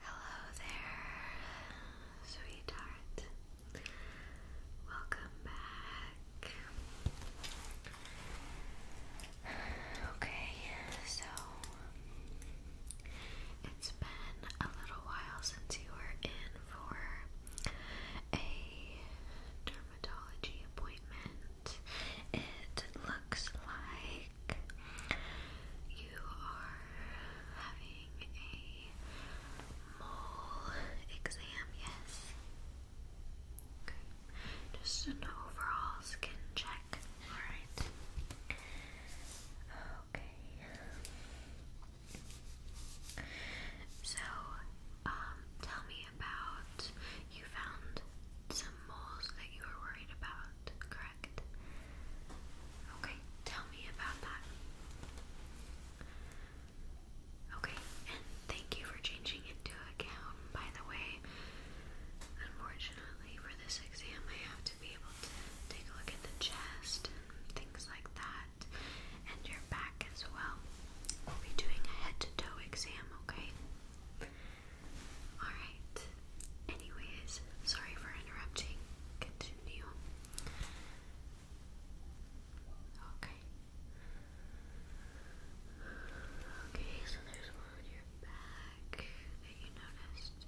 Hello there, sweetheart. Welcome back. Okay, so it's been a little while since you were in for a dermatology appointment. It looks like like you are having a mole exam, yes? Okay. Just an overall skin check. Alright. Okay. So, um, tell me about you found some moles that you were worried about, Okay, tell me about that. Okay, and thank you for changing into to a gown, by the way. Unfortunately, for this exam, I have to be able to take a look at the chest and things like that, and your back as well. We'll be doing a head to toe exam, okay? Alright. Anyways, sorry for interrupting. Continue. Okay. Okay, so there's one on your back that you noticed.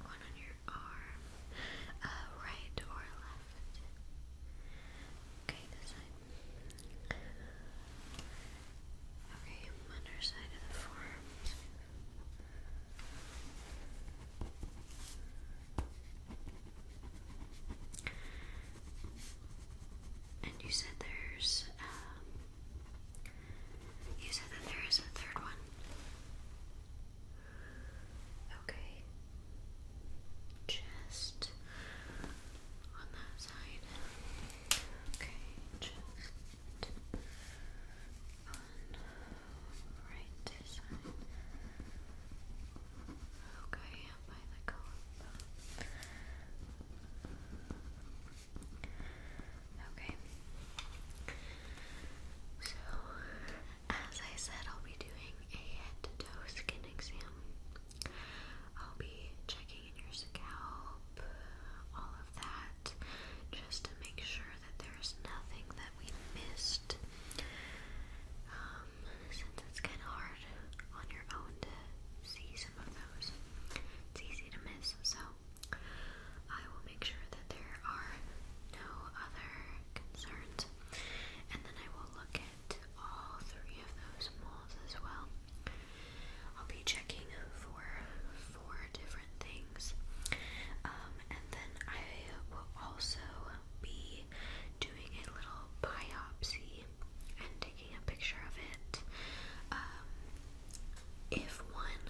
Okay. One on your arm, uh, right or left? it. Okay, this side. Okay, underside of the forearms. And you said there's, um, you said that there is a third one. Okay. Just on that side. Okay, just on right side. Okay, by the collarbone. Okay. So as I said, I'll be doing a head to toe skin exam. I'll be checking in your scalp, all of that, just to make sure that there's nothing that we missed. Um, since it's kind of hard on your own to see some of those, it's easy to miss. So, I will make sure that there are no other concerns and then I will look at all three of those moles as well. I'll be checking for four different things. Um, and then I will also be doing a little biopsy and taking a picture of it. Um, if one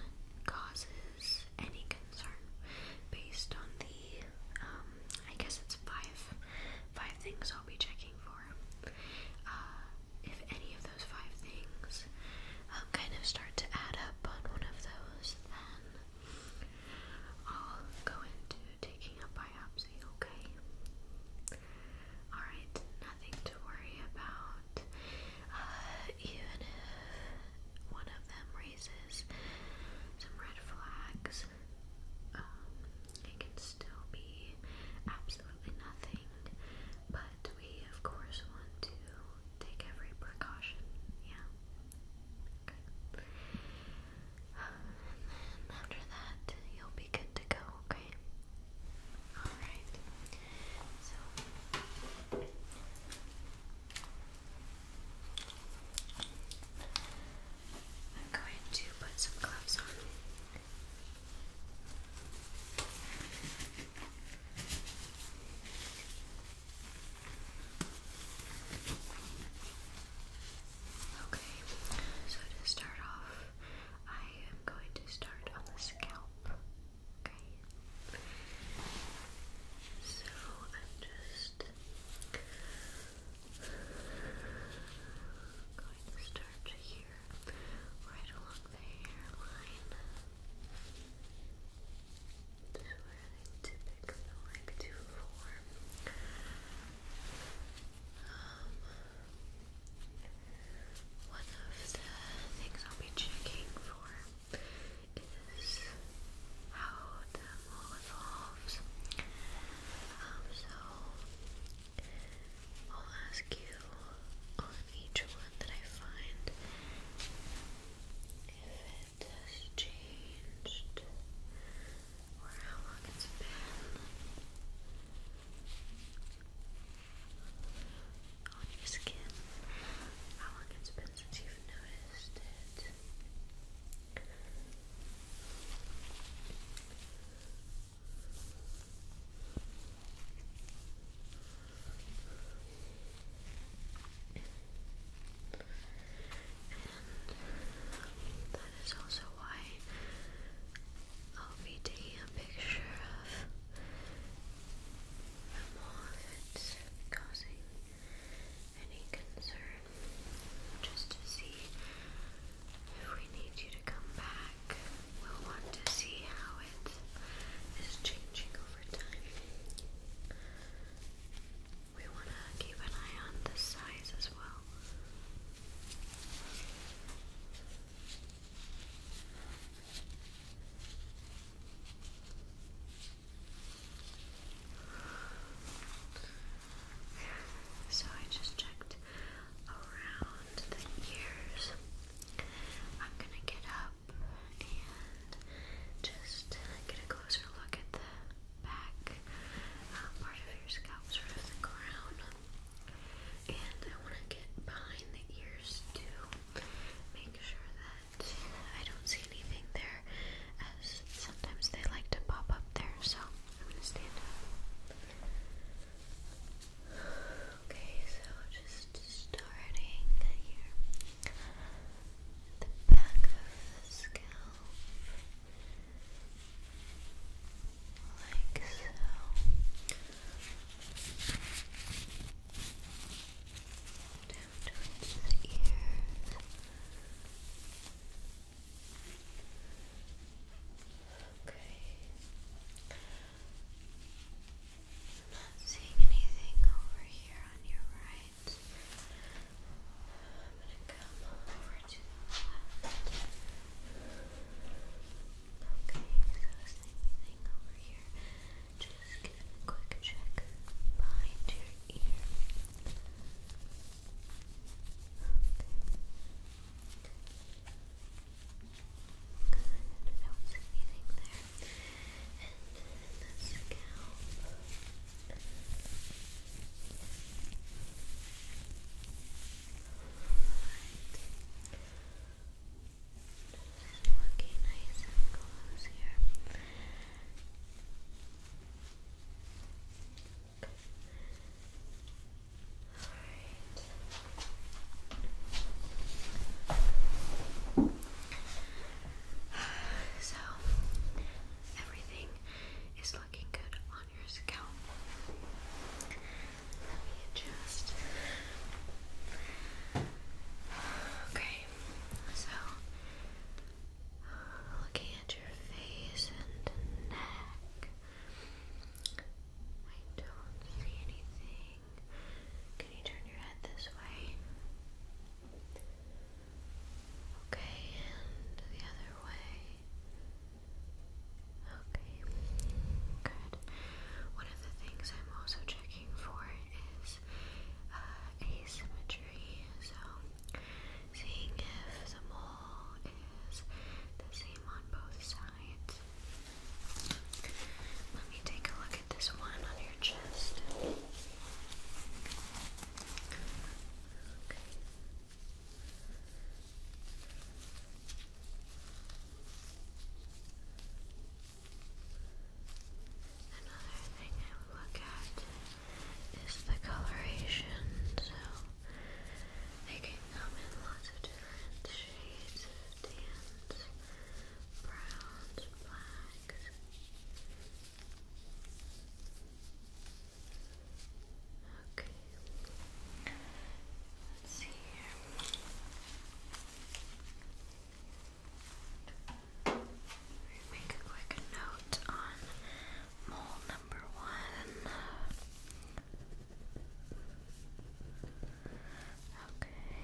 causes any concern based on the um, I guess it's five, five things I'll be checking for. Uh, if any of those five things um, kind of start to add up on one of those, then I'll go into taking a biopsy. Okay. All right. Nothing to worry about. Uh, even if one of them raises some red flags. Um, it can still be absolutely nothing, but we of course want to take every precaution. Yeah. Um, and then after that, you'll be good to go. Okay. All right. So. I'm going to put some gloves on. Okay, so to start off, I am going to start on the scalp. Okay. So I'm just I'm going to start here, right along the hairline. This where they typically like to form. one of the things I'll be checking for is how the mole evolves. Um, so I'll ask you on each one that I find if it has changed or how long it's been. On your skin, how long it's been since you've noticed it, and that is also why I'll be taking a picture of the mole if any concern just to see if we need you to come back. We'll want to see how it is changing over time. We want to keep an eye on the size as well. Okay. So I just checked around the ears. I'm gonna get up and just get a closer look at the back uh, part of your scalp, sort of the crown. And I want to get behind the ears to make sure that I don't see anything there as sometimes they like to pop up there, so I'm gonna stand up. Okay, so just starting here at the back of the scalp, like so down towards the ears. Okay. I'm not seeing anything over here on your right. I'm gonna come over to the left. Okay, so same thing over here. Just give it a quick check behind your ear. Okay. Good. That there. And the scalp. Right. looking nice and close here. All right. So everything is looking good on your scalp. Let me Okay, so looking at your face and neck. I don't see anything. Can you turn your head this way? Okay, and the other way. Okay, good. One of the things I'm also checking for is uh, asymmetry so seeing if the mole is the same on both sides. Let me take a look at this one on your chest. Another thing I would look at is the coloration. So they can come in lots of different shades of tans, browns, blacks. Okay. Let's see here. Make a quick note on mole number one. Okay.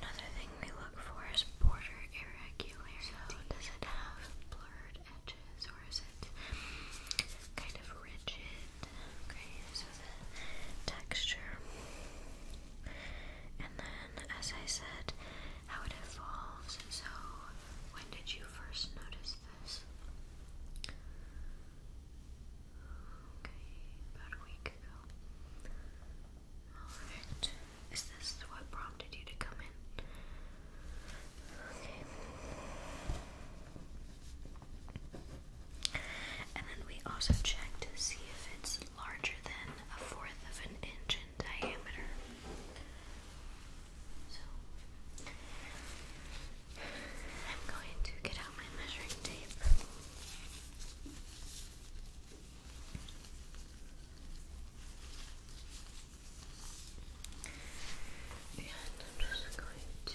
Another thing we look for is border irregularity. So does it have blurred edges or is it kind of rigid? Okay, so the texture and then as I said, how it evolves. So, when did you first notice this? Okay, about a week ago. Alright. Is this what prompted you to come in? Okay. And then we also checked to see if it's is larger than a fourth of an inch in diameter. So, I'm going to get out my measuring tape. And I'm just going to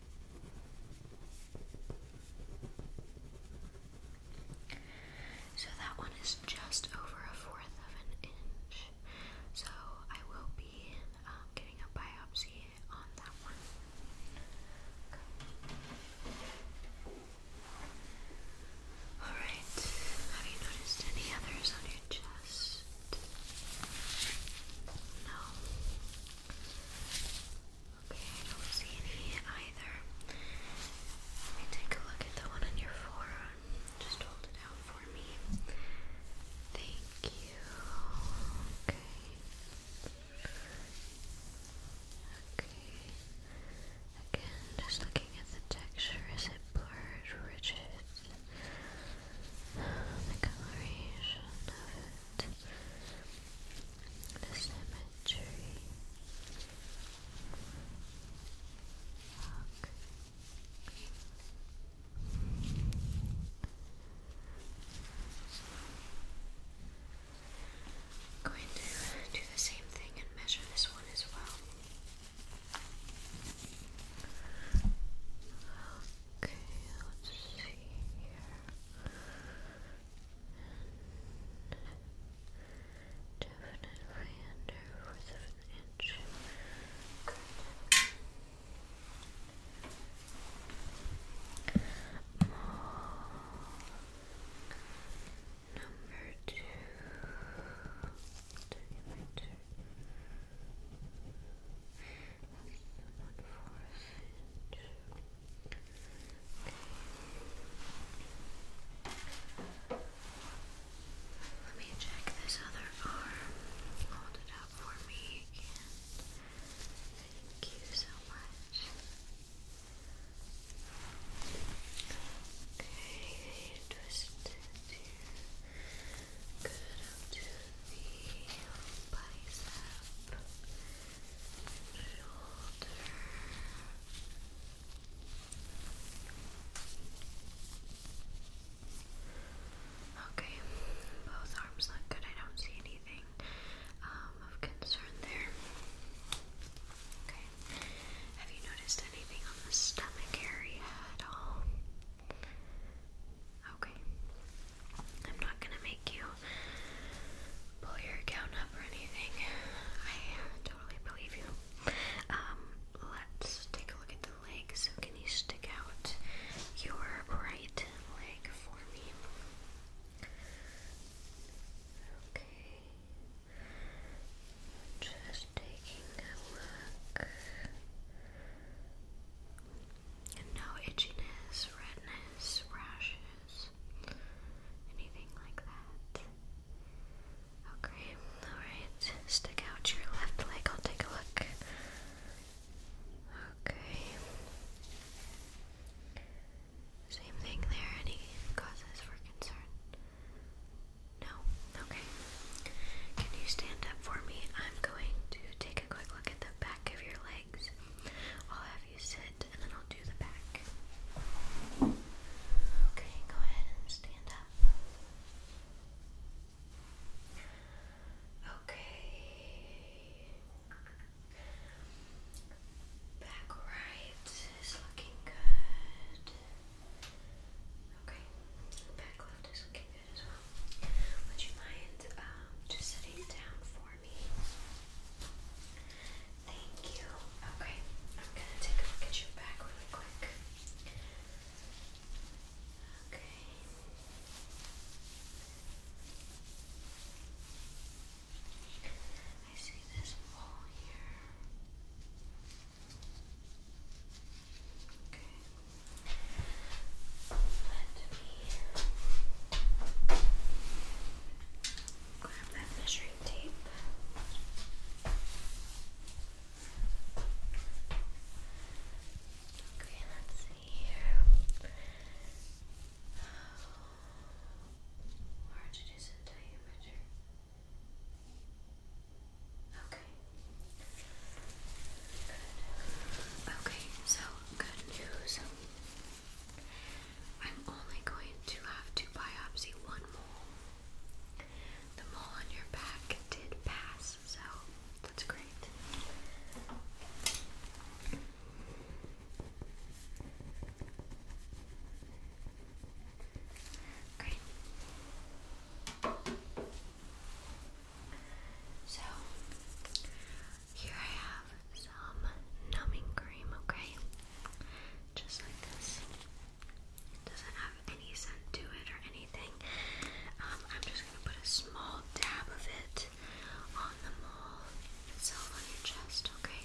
So that one is just over a fourth of an inch. So I will be um, getting a biopsy on that one. Alright, have you noticed any others on your chest? No. Okay, I don't see any either. Let me take a look at the one on your forearm. Just hold it out for me. Thank you. Okay. Okay. Again, just looking at the texture. Is it blurred, rigid? The coloration of the cemetery I'm going to do the same thing and measure this one as well. Okay, let's see here. definitely under fourth of an inch. Good. Number two. Let me check this other arm. Hold it up for me again. Thank you so much. Okay, twist here. Good up to the bicep. Okay, both arms look good. I don't see anything um, of concern there. Okay, have you noticed anything on the stomach area at all? Okay. I'm not gonna make you pull your account up or anything. I totally believe you. Um, let's take a look at the leg. So, can you stick out your right leg for me? Okay. Just taking a look no itchiness, redness, rashes, anything like that. Okay, alright. Stick out your left leg, I'll take a look. Okay. Same thing there, any causes for concern? No? Okay. Can you stand up for me? I'm going to take a quick look at the back of your legs. I'll have you sit and then I'll do the back. Okay, go ahead and stand up. Okay. Back right is looking good. Okay. Back left is looking would you mind um, just sitting down for me? Thank you. Okay, I'm gonna take a look at your back really quick. Okay. I see this wall here. Okay, let me grab that measuring tape. Okay, let's see here. Oh, it is in diameter. Okay. Good. Okay, so good news. I'm only going to have to biopsy one mole. The mole on your back did pass, so that's great. Great. So, here I have some numbing cream, okay? Just like this. doesn't have any scent to it or anything. Um, I'm just gonna put a small dab of it on the mole itself on your chest, okay?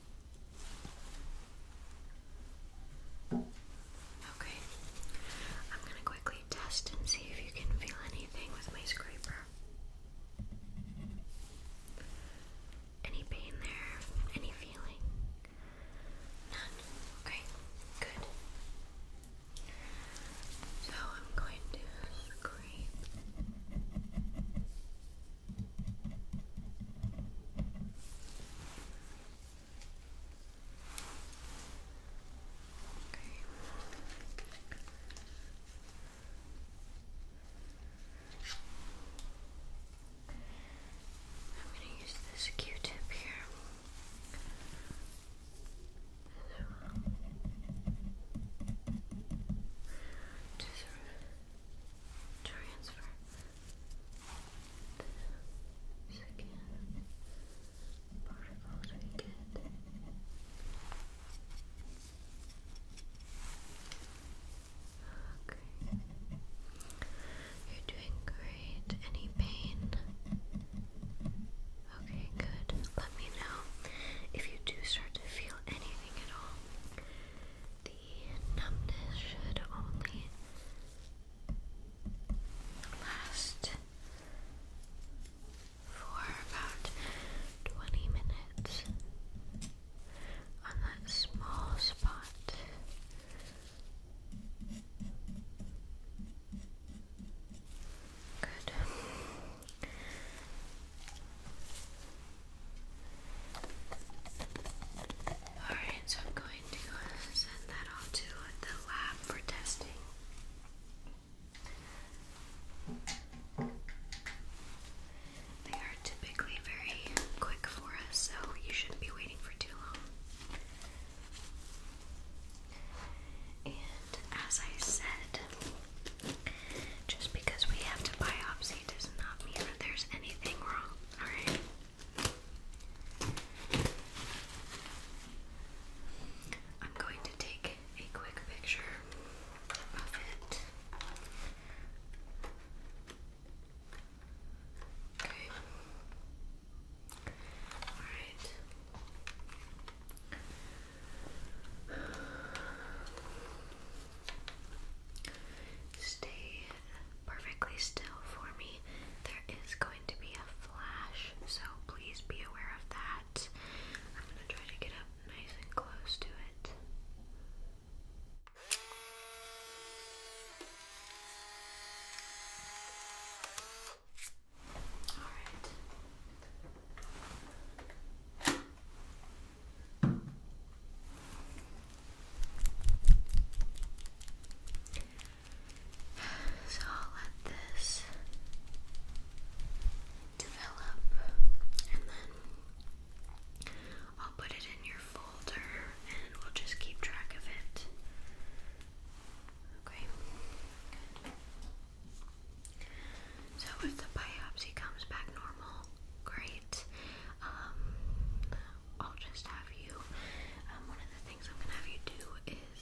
Okay, I'm going to quickly test and see if you can feel anything with my scraper. Any pain there? Any feeling? None. Okay, good. So I'm going to scrape I'm going to use this Q tip here transfer second particles we get. Okay. You're doing great. Any pain? Okay, good. Let me know if you do start to feel anything at all numbness should only last for about 20 minutes on that small spot. Good. Alright, so I'm going to send that off to the lab for testing. They are typically very quick for us, so you shouldn't be waiting for too long. And as I said, just because we have to biopsy does not mean that there's anything wrong. Alright. I'm going to take a quick picture of it. Okay. Alright. Stay perfectly still for me. There is going to be a flash, so please be aware of that. I'm going to try to get up nice and close to it. Alright. So I'll let this develop and then I'll put it in your folder and we'll just keep track of it. Okay. So if the biopsy comes back normal, great. Um, I'll just have you. Um, one of the things I'm gonna have you do is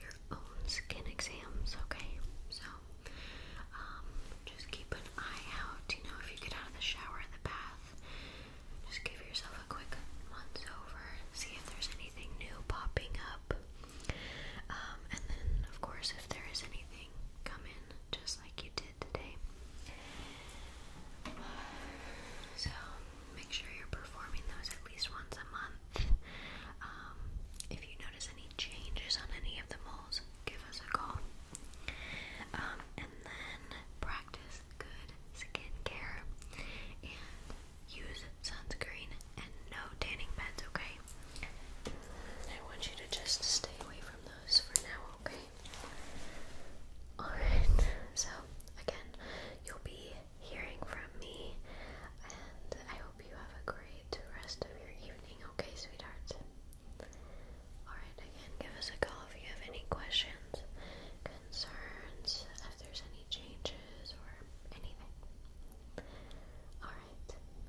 your own skin exams, okay? So, um, just keep an eye out. You know, if you get out of the shower in the bath, just give yourself a quick once over, see if there's anything new popping up. Um, and then, of course, if there is anything, come in just like you did. So make sure you're performing those at least once a month. Um, if you notice any changes on any of the moles, give us a call. Um, and then practice good skincare and use sunscreen and no tanning beds, okay? I want you to just stay away from those for now, okay? Alright, so again, you'll be hearing from me, and I hope you have a great rest of your evening, okay, sweetheart? Alright, again, give us a call if you have any questions, concerns, if there's any changes or anything. Alright,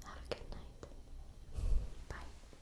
have a good night. Bye.